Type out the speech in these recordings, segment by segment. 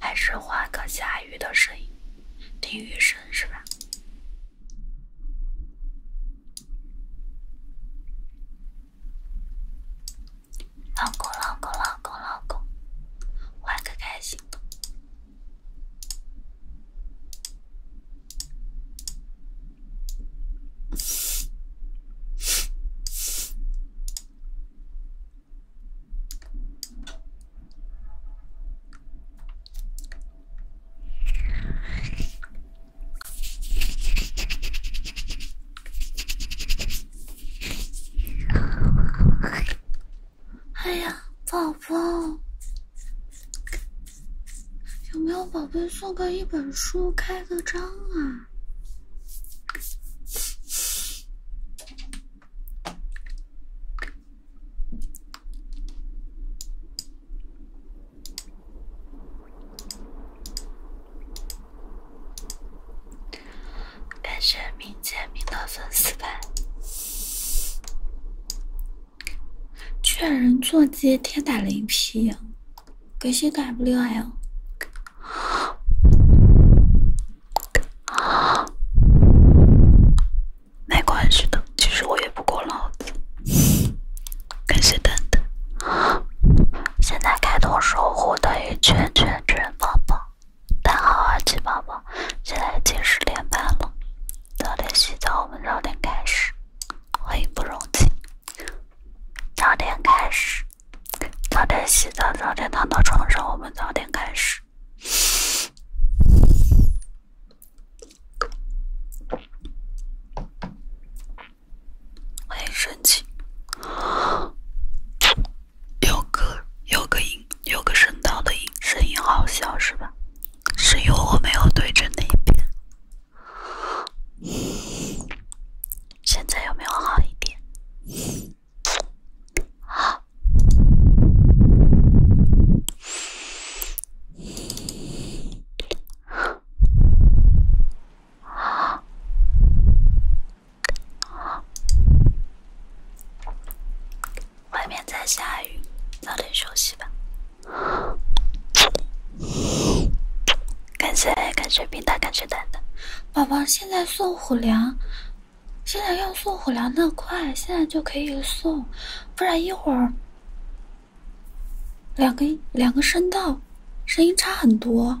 还是换个下雨的声音，听雨声是吧？老公，老公，老公，老公，玩个开心的。哎呀，宝宝，有没有宝贝送个一本书开个张啊？感谢明姐明的粉丝牌，劝人做鸡天打雷劈！感谢打不了呀。没关系的，其实我也不过脑子。感谢蛋蛋，现在开通守护等于圈圈圈宝宝。大家好啊，鸡宝宝。现在已经十点半了，早点洗澡，我们早点开始。欢迎不容情，早点开始，早点洗澡，早点躺到床上，我们早点开始。欢迎神奇。有个有个音，有个声道的音，声音好小是吧？是因为我没有对着那边。现在有没有好一点？好。外面在下雨，早点休息吧。感谢感谢平台，感谢蛋蛋。宝宝现在送虎粮，现在要送虎粮的快，现在就可以送，不然一会儿两个两个声道声音差很多。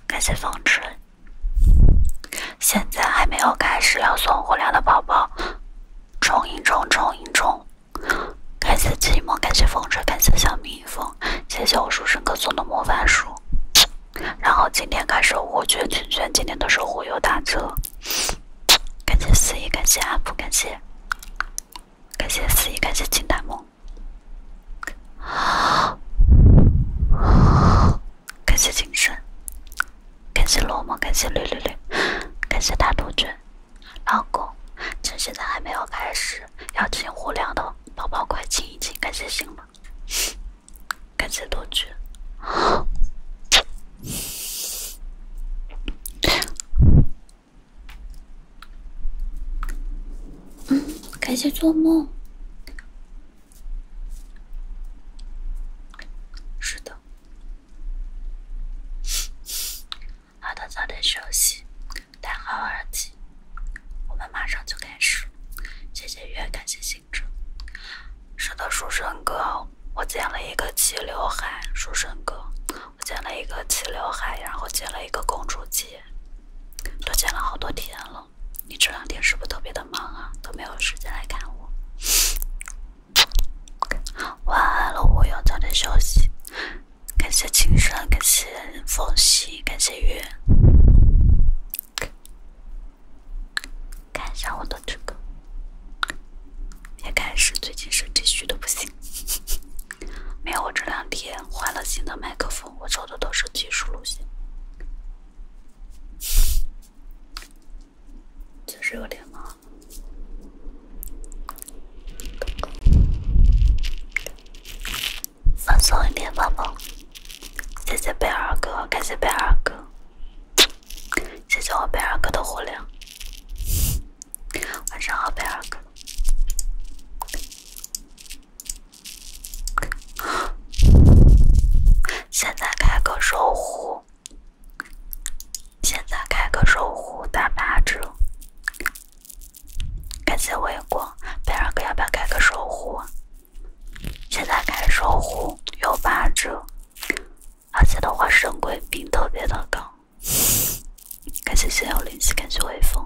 感谢风车，现在还没有开始要送火粮的宝宝，冲一冲，冲一冲！感谢寂寞，感谢风车，感谢小蜜蜂，谢谢我书生哥送的魔法书。然后今天开始我卷圈圈，今天都是忽悠打折。感谢司仪，感谢阿普，感谢，感谢司仪，感谢金大梦。感谢精神，感谢落寞，感谢绿绿绿，感谢大杜鹃。老公，趁现在还没有开始，要进火两的宝宝快进一进，感谢醒了，感谢杜鹃。嗯，感谢做梦。是的。好的，早点休息，戴好耳机，我们马上就开始。谢谢月，感谢星辰。是的，书生哥，我剪了一个齐刘海。书生哥，我剪了一个齐刘海，然后剪了一个公主切，都剪了好多天了。你这两天是不是特别的忙啊，都没有时间来看我。晚安了，我要早点休息。感谢青山，感谢风夕，感谢月。看一下我的这个，也开始，最近身体虚的不行。没有，我这两天换了新的麦克风。我走的都是技术路线，确实有点忙，放松一点，宝宝。谢谢贝尔哥，感谢贝尔哥，谢谢我贝尔哥的火撩。晚上好，贝尔哥。现在开个守护，现在开个守护打八折，感谢微光，贝尔哥要不要开个守护？现在开守护有八折，而且的话神贵并特别的高，感谢心有灵犀，感谢微风。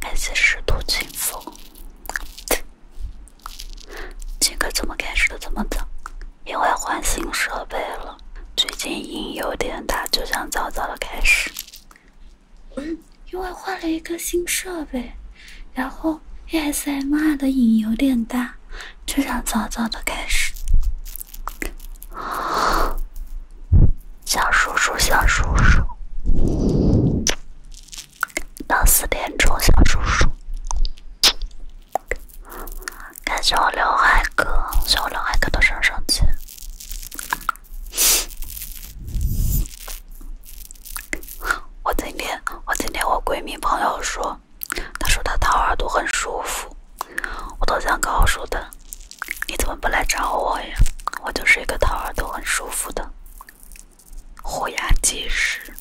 感谢师徒清风。这个怎么开始的这么早？因为换新设备了，最近音有点大，就想早早的开始。嗯，因为换了一个新设备。然后 ASMR 的瘾有点大，就想早早的开始。小叔叔，小叔叔，到四点钟，小叔叔。感谢我刘海哥，谢我刘海哥的升升级。我今天，我今天我闺蜜朋友说。他说他掏耳朵很舒服，我都想告诉他，你怎么不来找我呀？我就是一个掏耳朵很舒服的虎牙技师。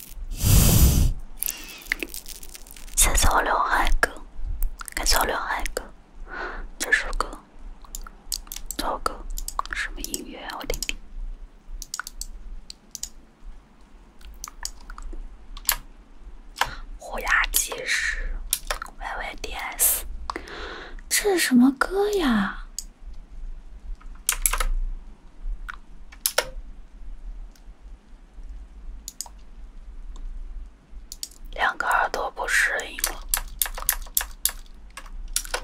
谢谢我刘海哥，感谢我刘海哥。这首歌，找歌什么音乐？我听听。虎牙即时，Y Y D S，这是什么歌呀？两个耳朵不适应了，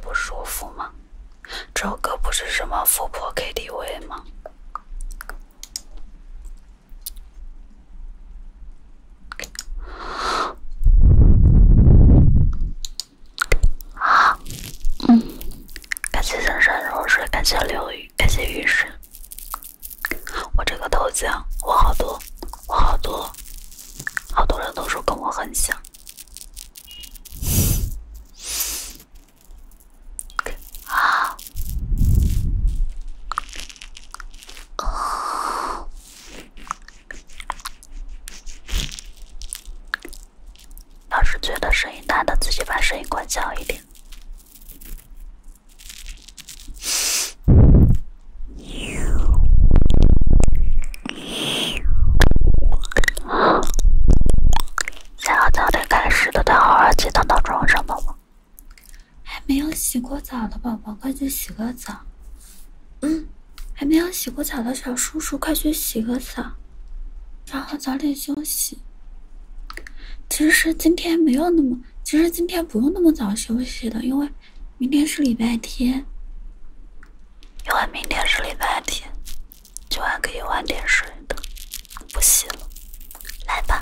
不舒服吗？这首歌不是什么富婆 K T V 吗？好，嗯，感谢江山如水，感谢刘宇，感谢雨神。我这个头像，我好多，我好多，好多人都说跟我很像。啊！啊！要是觉得声音大，的自己把声音关小一点。想要早点开始，的戴好耳机，等闹钟上，宝宝。还没有洗过澡的宝宝，快去洗个澡。嗯，还没有洗过澡的小叔叔，快去洗个澡，然后早点休息。其实今天没有那么，其实今天不用那么早休息的，因为明天是礼拜天。因为明天是礼拜天。就晚可以晚点睡的，不洗了。来吧，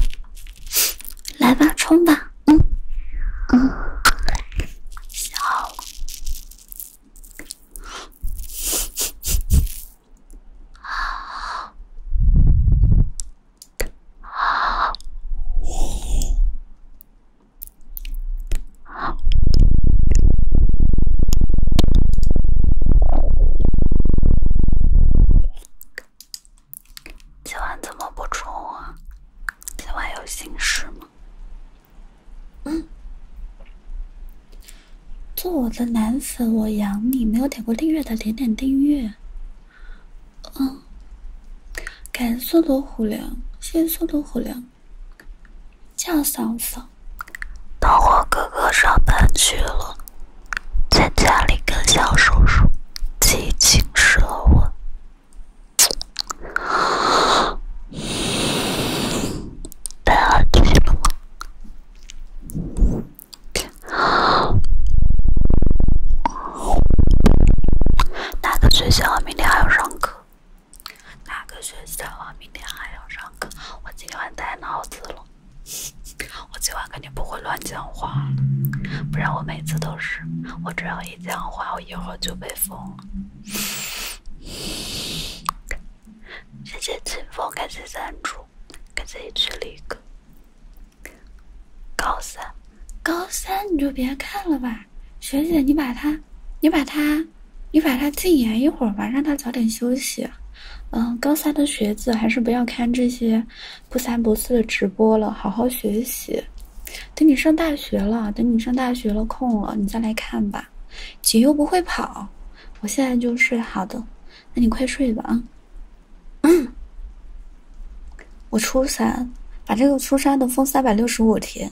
来吧，冲吧。嗯嗯，好，好，好。今晚怎么不冲啊？今晚有心事吗？嗯，做我的男粉我养你，没有点过订阅的点点订阅。嗯，感谢多多虎粮，谢谢多多虎粮，叫嫂桑。当我哥哥上班去了，在家里跟小叔叔一起侵蚀了我。别玩这哪个学校明天还要上课？哪个学校明天还要上课？我今天带脑子了。我今晚肯定不会乱讲话，不然我每次都是。我只要一讲话，我一会儿就被封了。谢谢清风，感谢给自感谢曲一个高三，高三你就别看了吧，学姐，你把他，你把他，你把他禁言一会儿吧，让他早点休息。嗯，高三的学子还是不要看这些不三不四的直播了，好好学习。等你上大学了，等你上大学了空了，你再来看吧。姐又不会跑，我现在就睡。好的，那你快睡吧啊。嗯，我初三，把这个初三的封三百六十五天。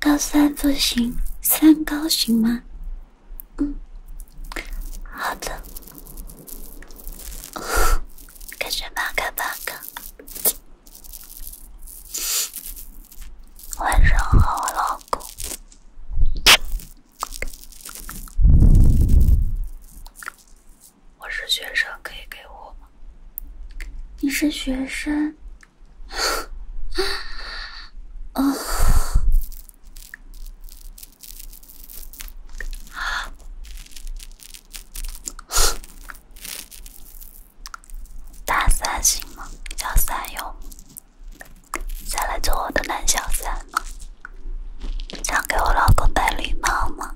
高三不行，三高行吗？嗯，好的。感谢骂？跟谁骂？晚上好，老公。我是学生，可以给我吗？你是学生？啊？大三行吗？要三吗？想来做我的男小三吗？想给我老公戴绿帽吗？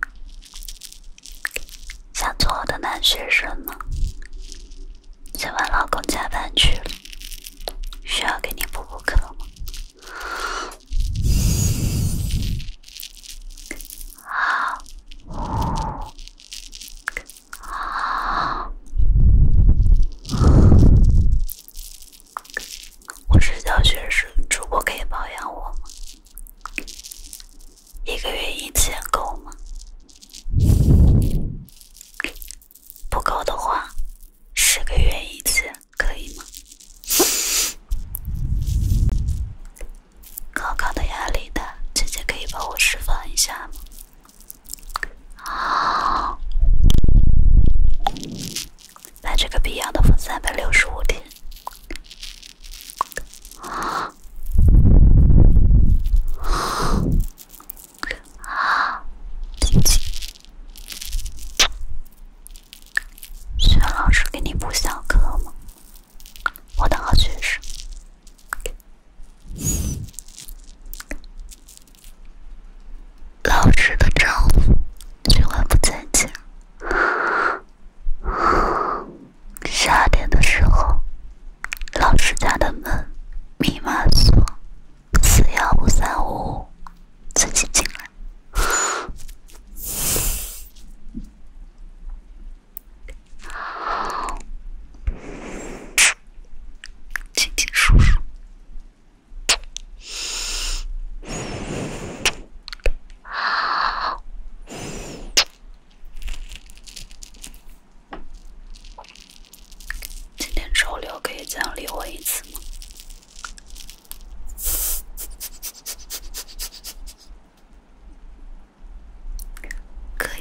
想做我的男学生吗？今晚老公加班去了，需要给你补补课吗？啊，啊，我是教学生。主播可以包养我吗？一个月一次够吗？不够的话，十个月一次可以吗？高考的压力大，姐姐可以帮我释放一下吗？啊！把这个逼要的分三百六十五天。啊！啊！姐姐，是老师给你补小课吗？我的好学生，老师的丈夫，今晚不再见。二点的时候，老师家的门密码锁四幺五三五五，自己进来。今天叔叔，今天周六可以奖励我一次吗？可以。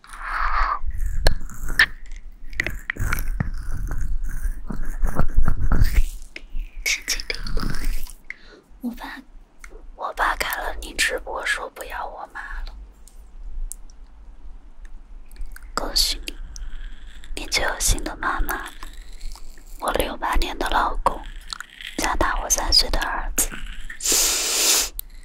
神经病！我爸我爸看了你直播说不要我妈了。恭喜你，你就有新的妈妈。我六八年的老公，加大我三岁的儿子。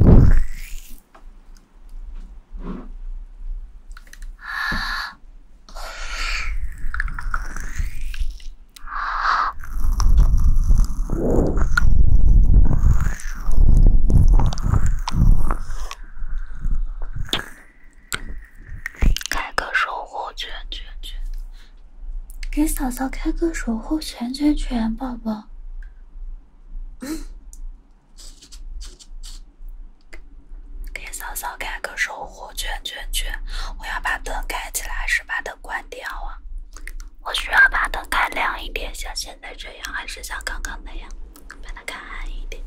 开个守护圈圈圈，给嫂嫂开个守护圈圈圈，宝宝。给嫂嫂开个守护圈圈圈！我要把灯开起来，还是把灯关掉啊？我需要把灯开亮一点，像现在这样，还是像刚刚那样？把它开暗一点。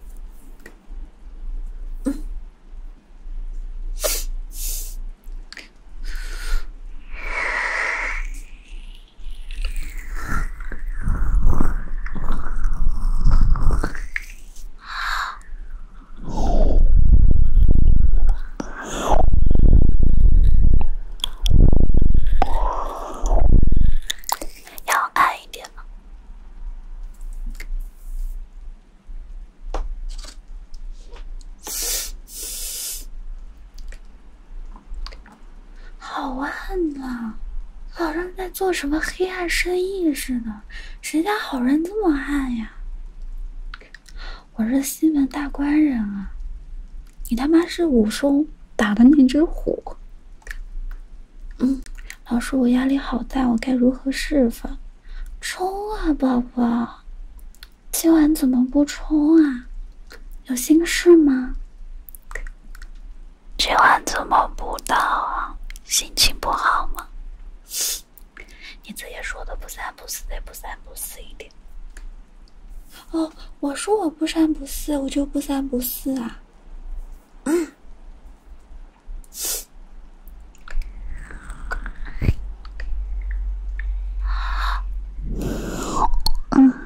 要暗一点吗？好暗呐，好像在做什么黑暗生意似的。谁家好人这么暗呀？我是西门大官人啊！你他妈是武松打的那只虎？嗯，老师，我压力好大，我该如何释放？冲啊，宝宝！今晚怎么不充啊？有心事吗？今晚怎么不到啊？心情不好吗？你自己说的不三不四的不三不四一点。哦，我说我不三不四，我就不三不四啊。嗯。嗯。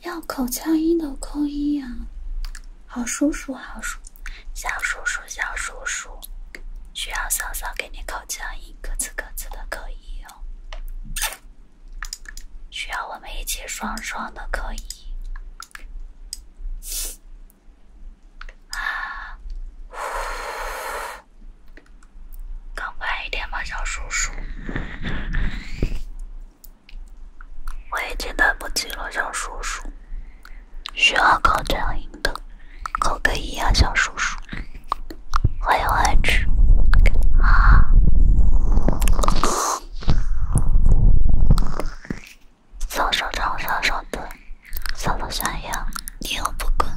要口腔音的扣一呀，好叔叔好叔，小叔叔小叔叔，需要嫂嫂给你口腔音，各自各自的扣一哦，需要我们一起双双的扣啊，快一点嘛小叔叔。我已经等不及了，小叔叔。需要扣两音的，扣个一啊，小叔叔。欢迎回去。早上早上早的，早上想你，你又不管。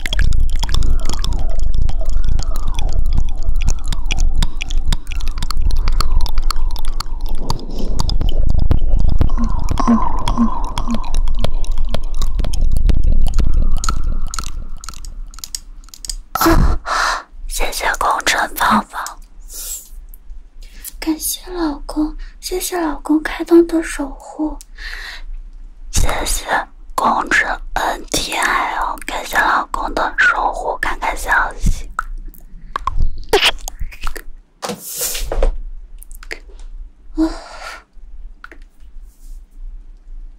哦谢谢工臣芳芳，感谢老公，谢谢老公开灯的守护，谢谢。工程 N T I O，感谢老公的守护，看看消息。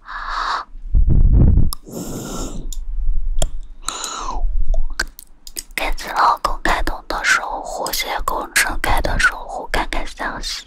啊！感谢老公开通的守护，谢谢工程开的守护，看看消息。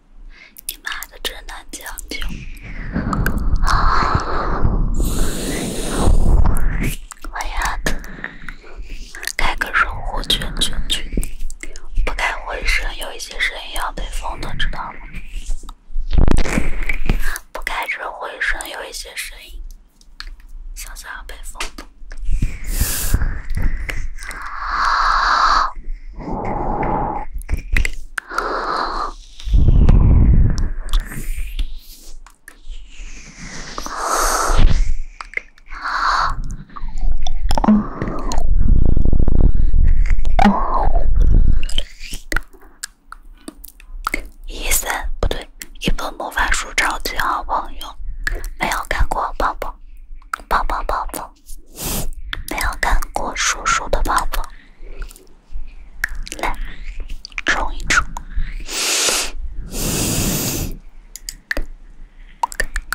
你妈的真难讲。将啊，我丫的，开个守护圈圈卷，不开回声，有一些声音要被封的，知道吗？不开这回声，有一些声音，下次要被封一三不对，《一本魔法书》超级好朋友，没有看过，抱抱抱抱抱抱。没有看过叔叔的宝宝，来，冲一冲！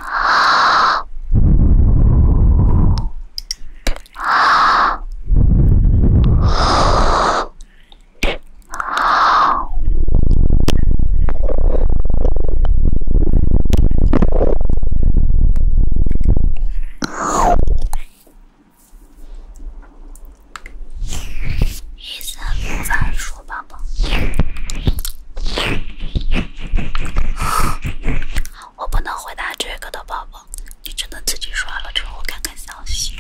啊啊啊啊！一三五，反说宝宝，我不能回答这个的宝宝，你只能自己刷了。之后看看消息，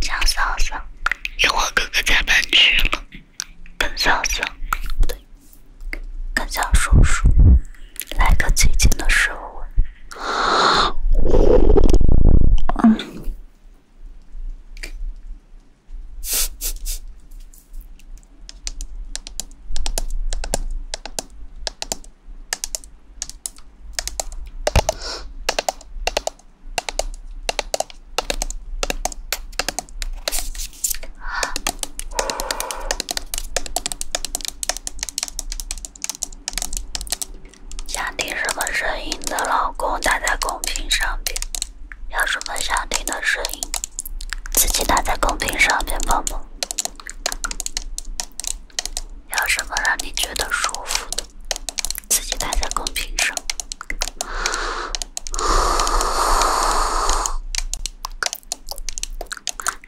江嫂嫂，一会哥哥加班去了。跟小叔，不对，跟小叔叔来个最近的食物。想听什么声音的老公打在公屏上边，有什么想听的声音，自己打在公屏上边宝宝，有什么让你觉得舒服的？自己打在公屏上。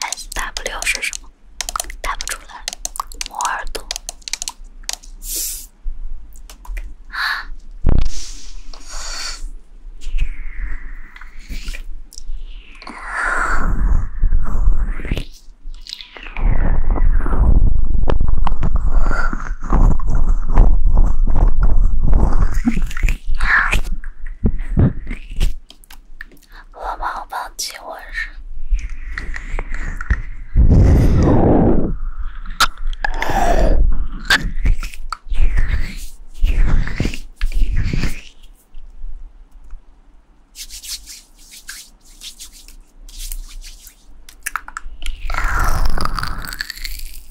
S W 是什么？打不出来，磨耳朵。啊！我不要放弃，我是。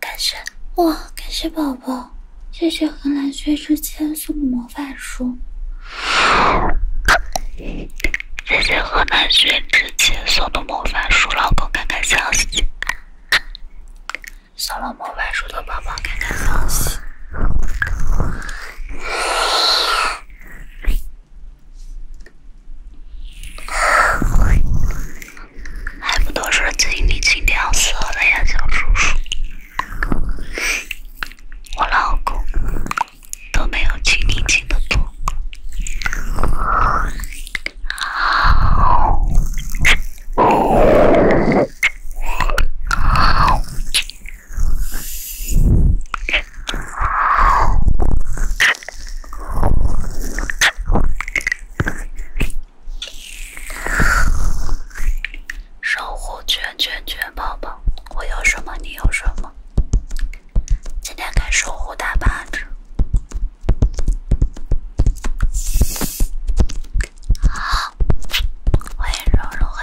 感谢哇，感谢宝宝。谢谢河南薛之谦送的魔法书，谢谢河南薛之谦送的魔法书，老公看看消息，送了魔法书的宝宝看看消息，还不都是今天你今色了呀，小叔叔。我老公都没有亲你亲得多。守护圈圈圈宝宝，我有什么你有什么。今天该守护大八只。好，我也揉揉黑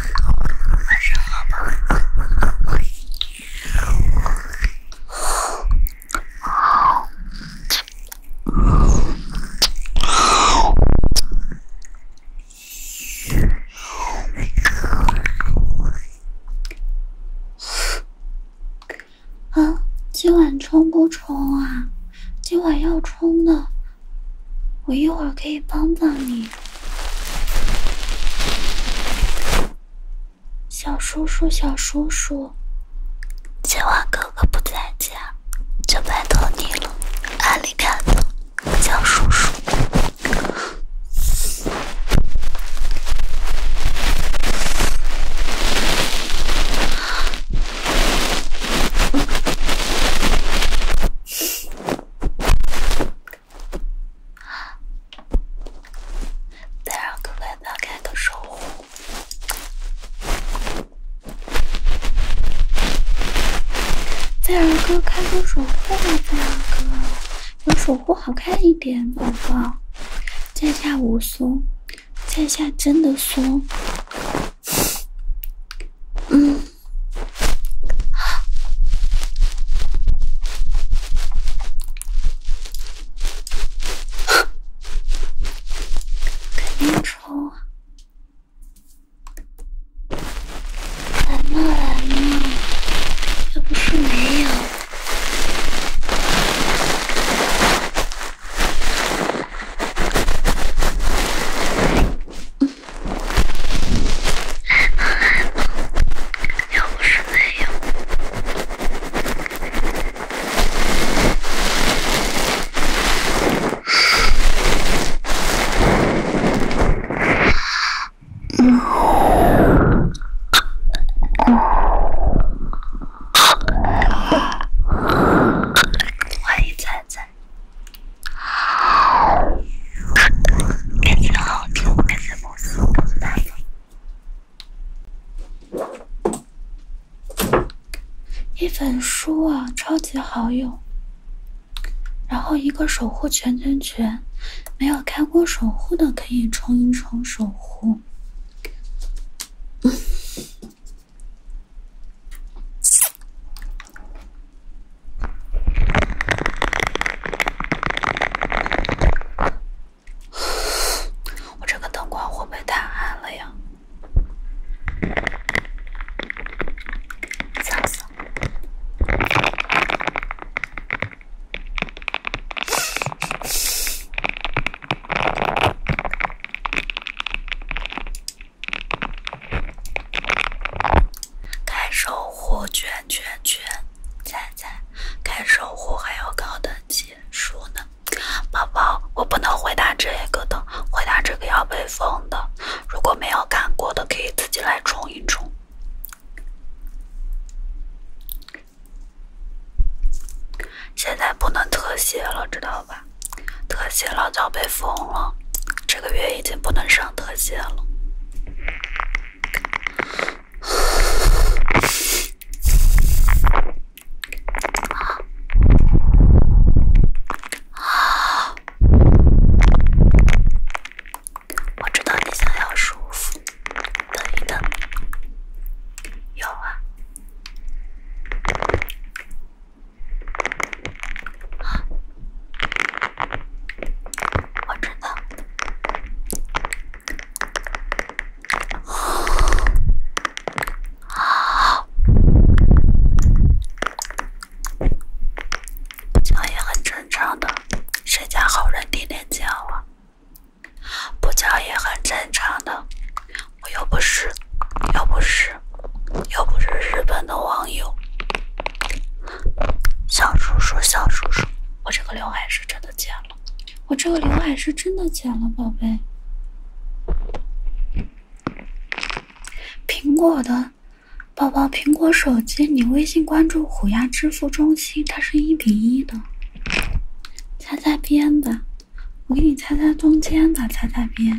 啊，今晚冲不冲啊？今晚要冲的。我一会儿可以帮帮你，小叔叔，小叔叔，今晚哥哥不在家，就拜托你了，阿里 k 多，小叔叔。在让哥哥打开个守护。再让哥开个守护吧，再让哥，有守护好看一点，宝宝。在下武松，在下真的松。嗯。肯定抽啊！来嘛来嘛，要不是没有。来吧来吧，不是没有。嗯，嗯，来一一本书啊，超级好用。然后一个守护全全全，没有开过守护的可以冲一冲守护。我这个灯光会不会太暗了呀？惨死。开守护，圈圈圈，猜猜，开守护还要高的级数呢？宝宝，我不能回答这个的，回答这个要被封的。如果没有看过的，可以自己来冲一冲。现在不能特写了，知道吧？特写了就要被封了。这个月已经不能上特写了。啊！啊！我知道你想要舒服，等一等，有啊。我知道，啊，不叫也很正常的，谁家好人天天叫啊？不叫也很正常的，我又不是，又不是，又不是日本的网友。小叔叔，小叔叔，我这个刘海是真的剪了，我这个刘海是真的剪了，宝贝。苹果的，宝宝，苹果手机，你微信关注虎牙支付中心，它是一比一的。擦擦边吧，我给你擦擦中间吧，擦擦边。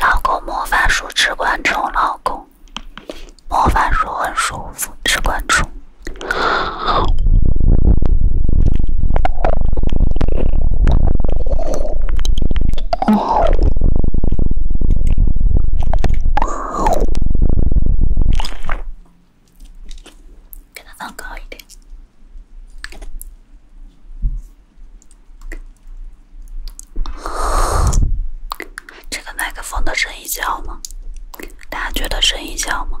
老公魔法书只关注老公，魔法书很舒服只关注。给它放高一点。这个麦克风的声音小吗？大家觉得声音小吗？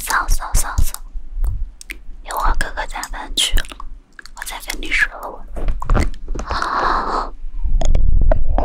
嫂嫂嫂嫂，一会儿哥哥加班去了，我再跟你说。我。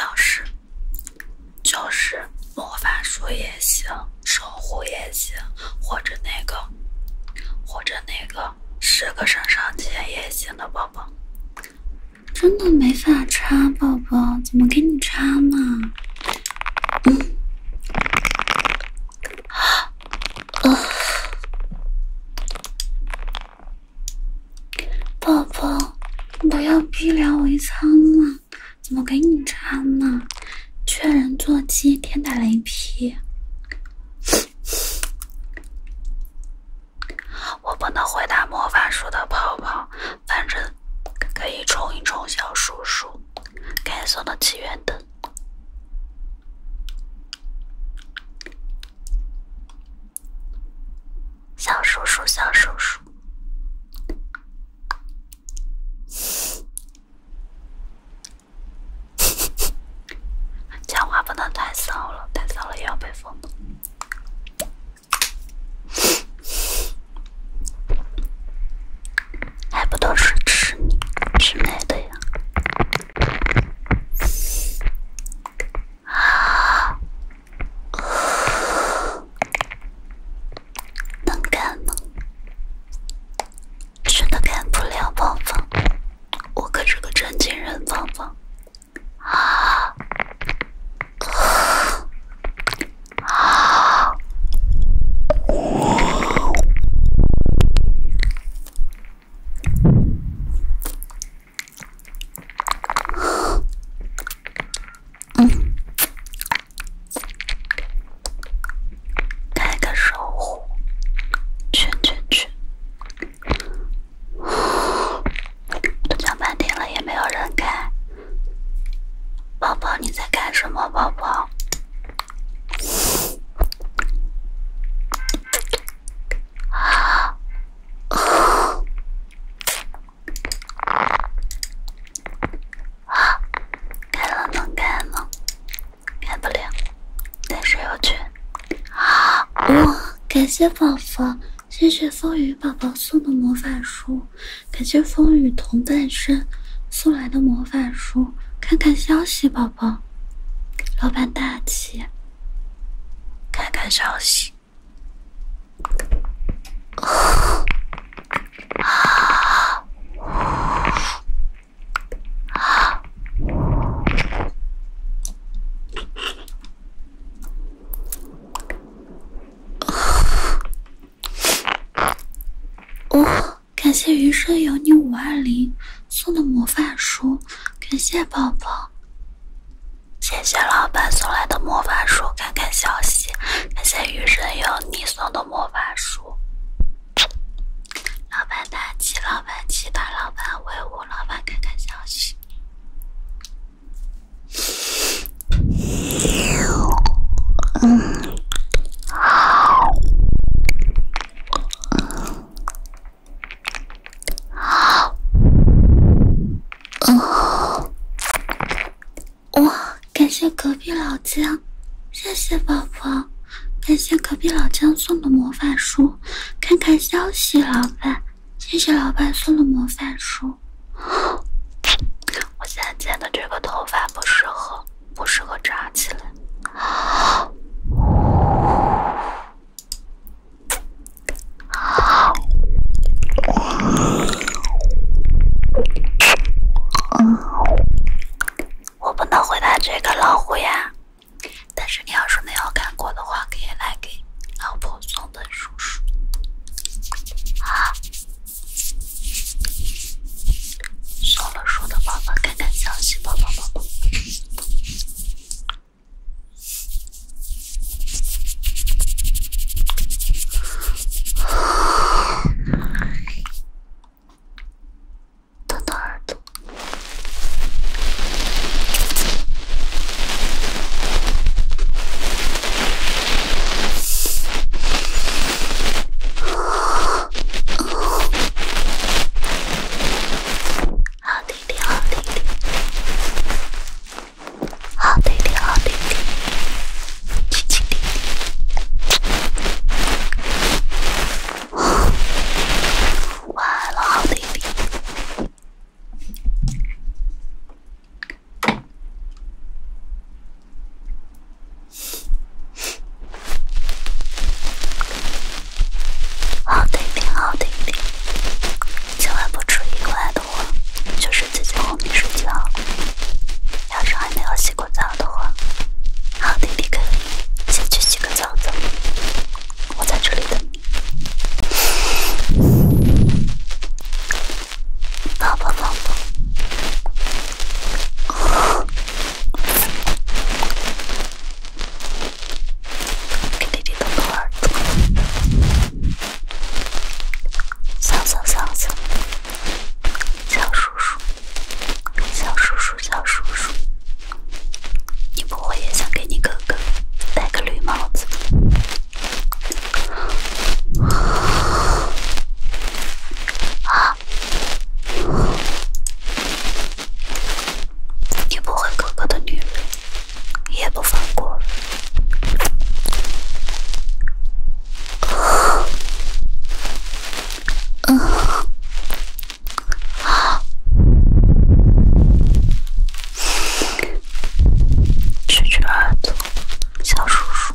要是，就是魔法书也行，守护也行，或者那个，或者那个。十个身上结也行的宝宝，真的没法插，宝宝怎么给你插嘛？嗯，啊，宝宝，不要逼良为娼嘛，怎么给你插呢？缺人坐鸡，天打雷劈。我不能回答魔法书的泡泡，反正可以冲一冲小叔叔，可以送的起源灯，小叔叔，小叔叔。讲话不能太骚了，太骚了也要被封的。还不都是吃你吃里的呀？啊！能干吗？真的干不了，芳芳，我可是个正经人，芳芳啊！啊！嗯。开个守护，去去去！都讲半天了，也没有人开。宝宝你在干什么，宝宝？啊！啊！啊！开了能开吗？改不了，但是有去。哇，感谢宝宝，谢谢风雨宝宝送的魔法书，感谢风雨同在生送来的魔法书，看看消息，宝宝，老板大气，看看消息。啊！哦，感谢余生有你五二零送的魔法书，感谢宝宝，谢谢老板送来的魔法书，看看消息，感谢余生有你送的魔法书。老板，大气，老板，气大！老板威武！老板，看看消息。嗯，好，好，哇！感谢隔壁老姜，谢谢宝宝，感谢隔壁老姜送的魔法书。看看消息，老板。谢谢老板送的模范书。我现在剪的这个头发不适合，不适合扎起来。我不能回答这个老虎呀。但是你要是没有看过的话，可以来给老婆送本书书，好，送了书的宝宝，看看消息吧，宝宝。他的耳朵。哦哦，好弟晚安，好好好今晚不意的话，就是睡觉。要是还没有洗过澡的话，好弟弟以先去洗个澡澡。我在这里等你，宝宝宝宝，弟弟小叔叔，小叔叔。小叔叔，你不会也想给你哥哥戴个绿帽子？啊！你不会哥哥的女人也不放过？蛐蛐儿走，小叔叔。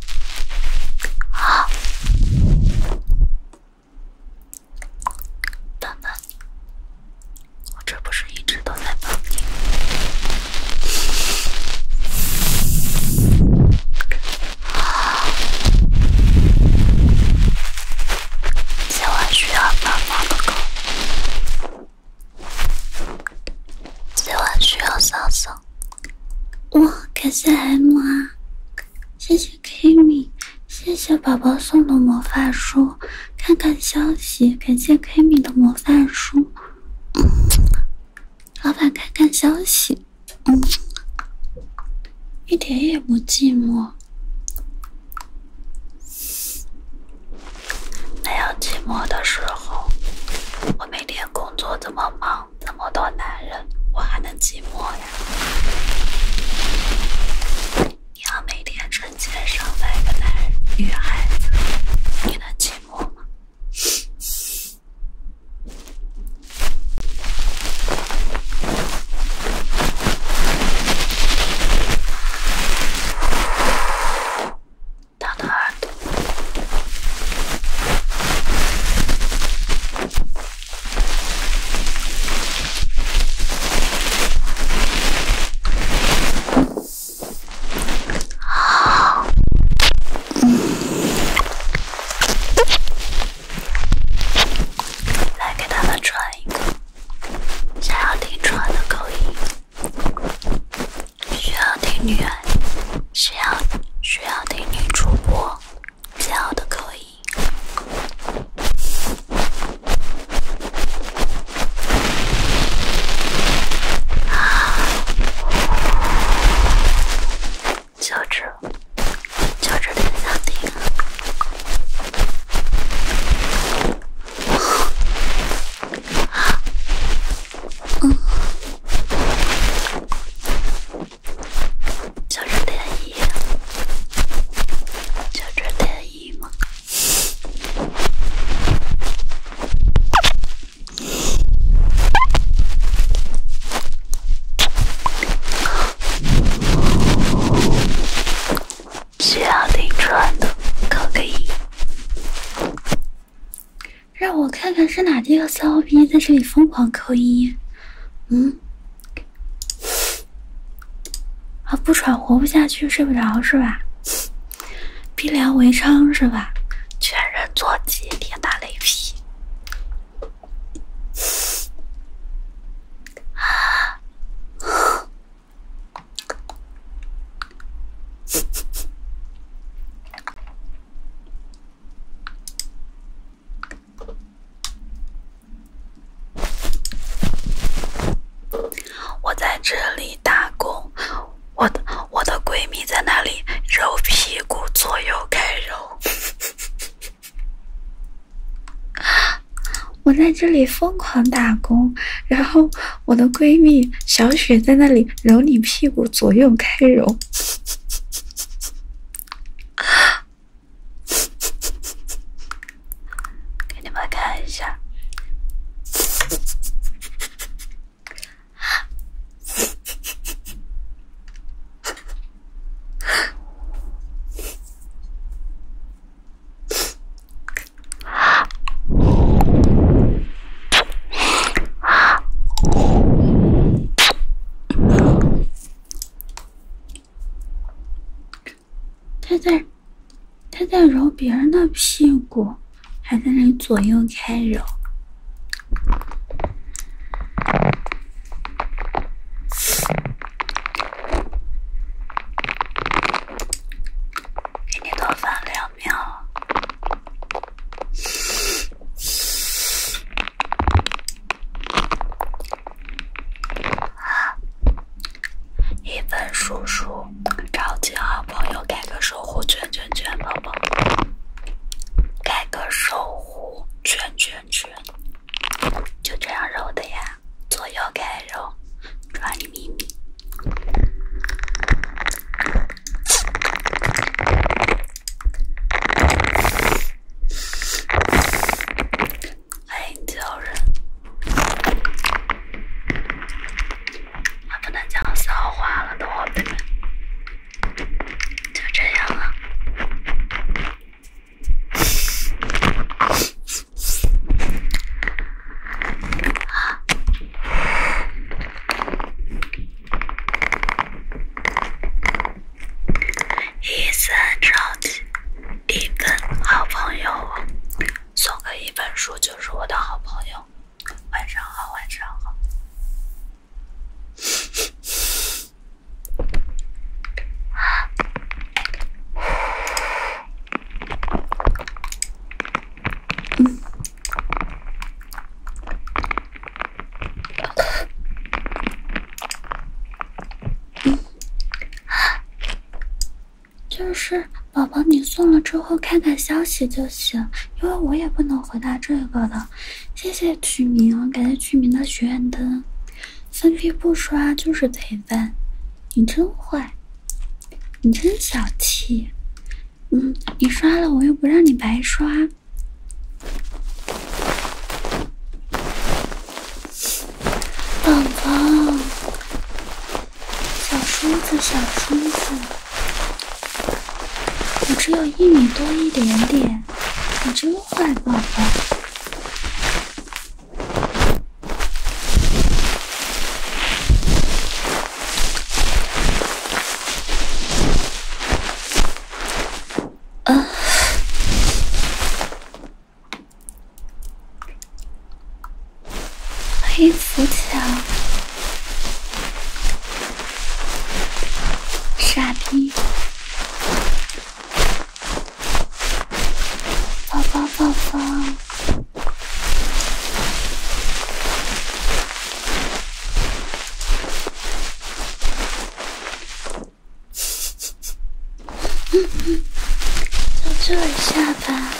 好，笨笨，我这不是一直都在帮你今晚需要帮忙的狗，今晚需要扫扫。哇，感谢 M 啊！谢谢 Kimi，谢谢宝宝送的魔法书，看看消息。感谢 Kimi 的魔法书，老板看看消息。嗯，一点也不寂寞，没有寂寞的时候。我每天工作这么忙。那么多男人，我还能寂寞呀？你要每天成千上百个男人、女孩子，你能寂寞吗？他的耳朵。啊！来给咱们穿一个，想要听穿的口音，需要听女孩。需要需要听女主播，只要都可以小声点一，小声点一嘛。需要听穿的，扣个一。让我看看是哪几个骚逼在这里疯狂扣一。嗯，啊，不喘活不下去，睡不着是吧？逼良为娼是吧？全人坐骑，天打雷劈！啊！我在这里打工，我的我的闺蜜在那里揉屁股左右开揉。我在这里疯狂打工，然后我的闺蜜小雪在那里揉你屁股左右开揉。给你们看一下。他在他在揉别人的屁股，还在那左右开揉。给你多放两秒。啊！一份叔叔召集好朋友，盖个守护圈圈圈，宝宝，盖个守护圈圈圈，就这样揉的呀，左右开揉，抓你咪咪。爱叫人，我不能讲笑话了，等会儿，都就这样了。一本超级一本好朋友，送给一本书就是我的好朋友。晚上好，晚上好。就是，宝宝你送了之后看看消息就行，因为我也不能回答这个的。谢谢曲明，感谢曲明的许愿灯，分批不刷就是陪伴，你真坏，你真小气，嗯，你刷了我又不让你白刷。宝宝，小梳子，小梳子，我只有一米多一点点，你真坏，宝宝。黑浮桥，傻逼，宝宝，宝宝。就这帮一下吧，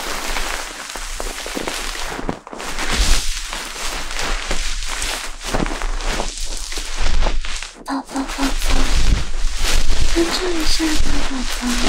宝宝宝宝，帮助一下吧，宝宝。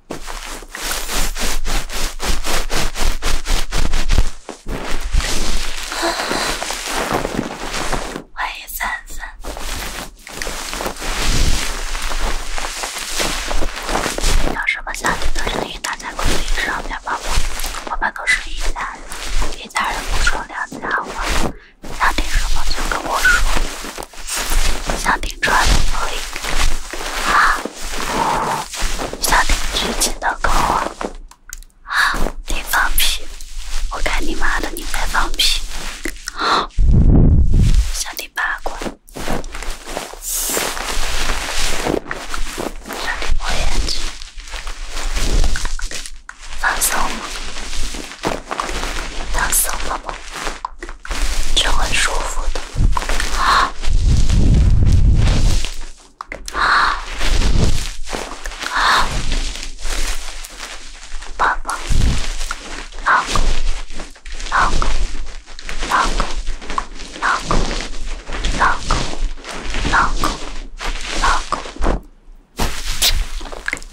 欢迎三三。有什么想听的声音，打在公屏上面吧。我们都是一家人，一家人不说两家话。想听什么就跟我说。想听穿的歌啊？想听剧情的歌啊？啊！你放屁！我看你妈的你在放屁！啊！想听八卦。想听音眼剧。放松吗？你放松了吗？就很舒服的，啊啊啊！老公，老公，老公，老公，老公，老公，老公，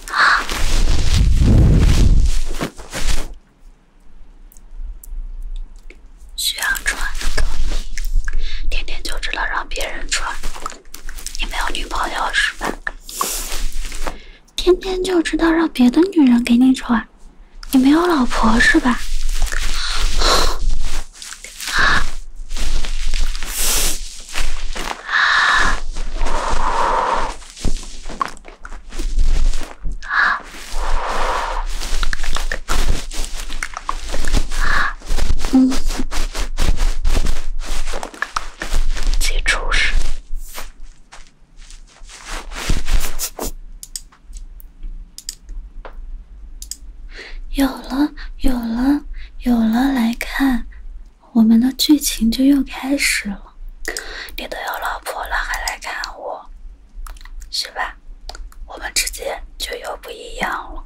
啊！需要穿的天天就知道让别人穿，你没有女朋友是吧？天天就知道让别的女人给你穿，你没有老婆是吧？啊！嗯，结束式。有了，有了，有了！来看，我们的剧情就又开始了。你都有老婆了，还来看我，是吧？我们之间就又不一样了。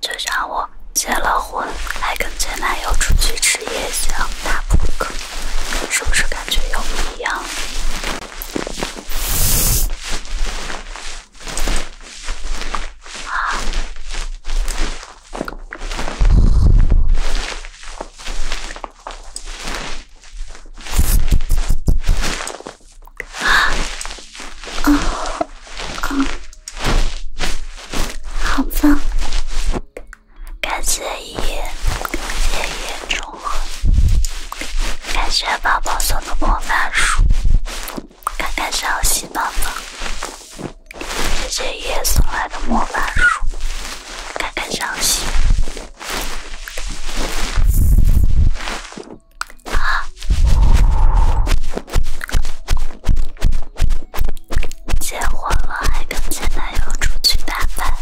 就像我结了婚，还跟前男友出去吃夜宵、打扑克，是不是感觉又不一样？了？啊！嗯，好棒！感谢爷爷爷爷感谢宝宝送的魔法书，看看小喜宝宝，谢谢爷送来的魔法书，看看小喜。啊，结婚了还跟前男友出去打饭？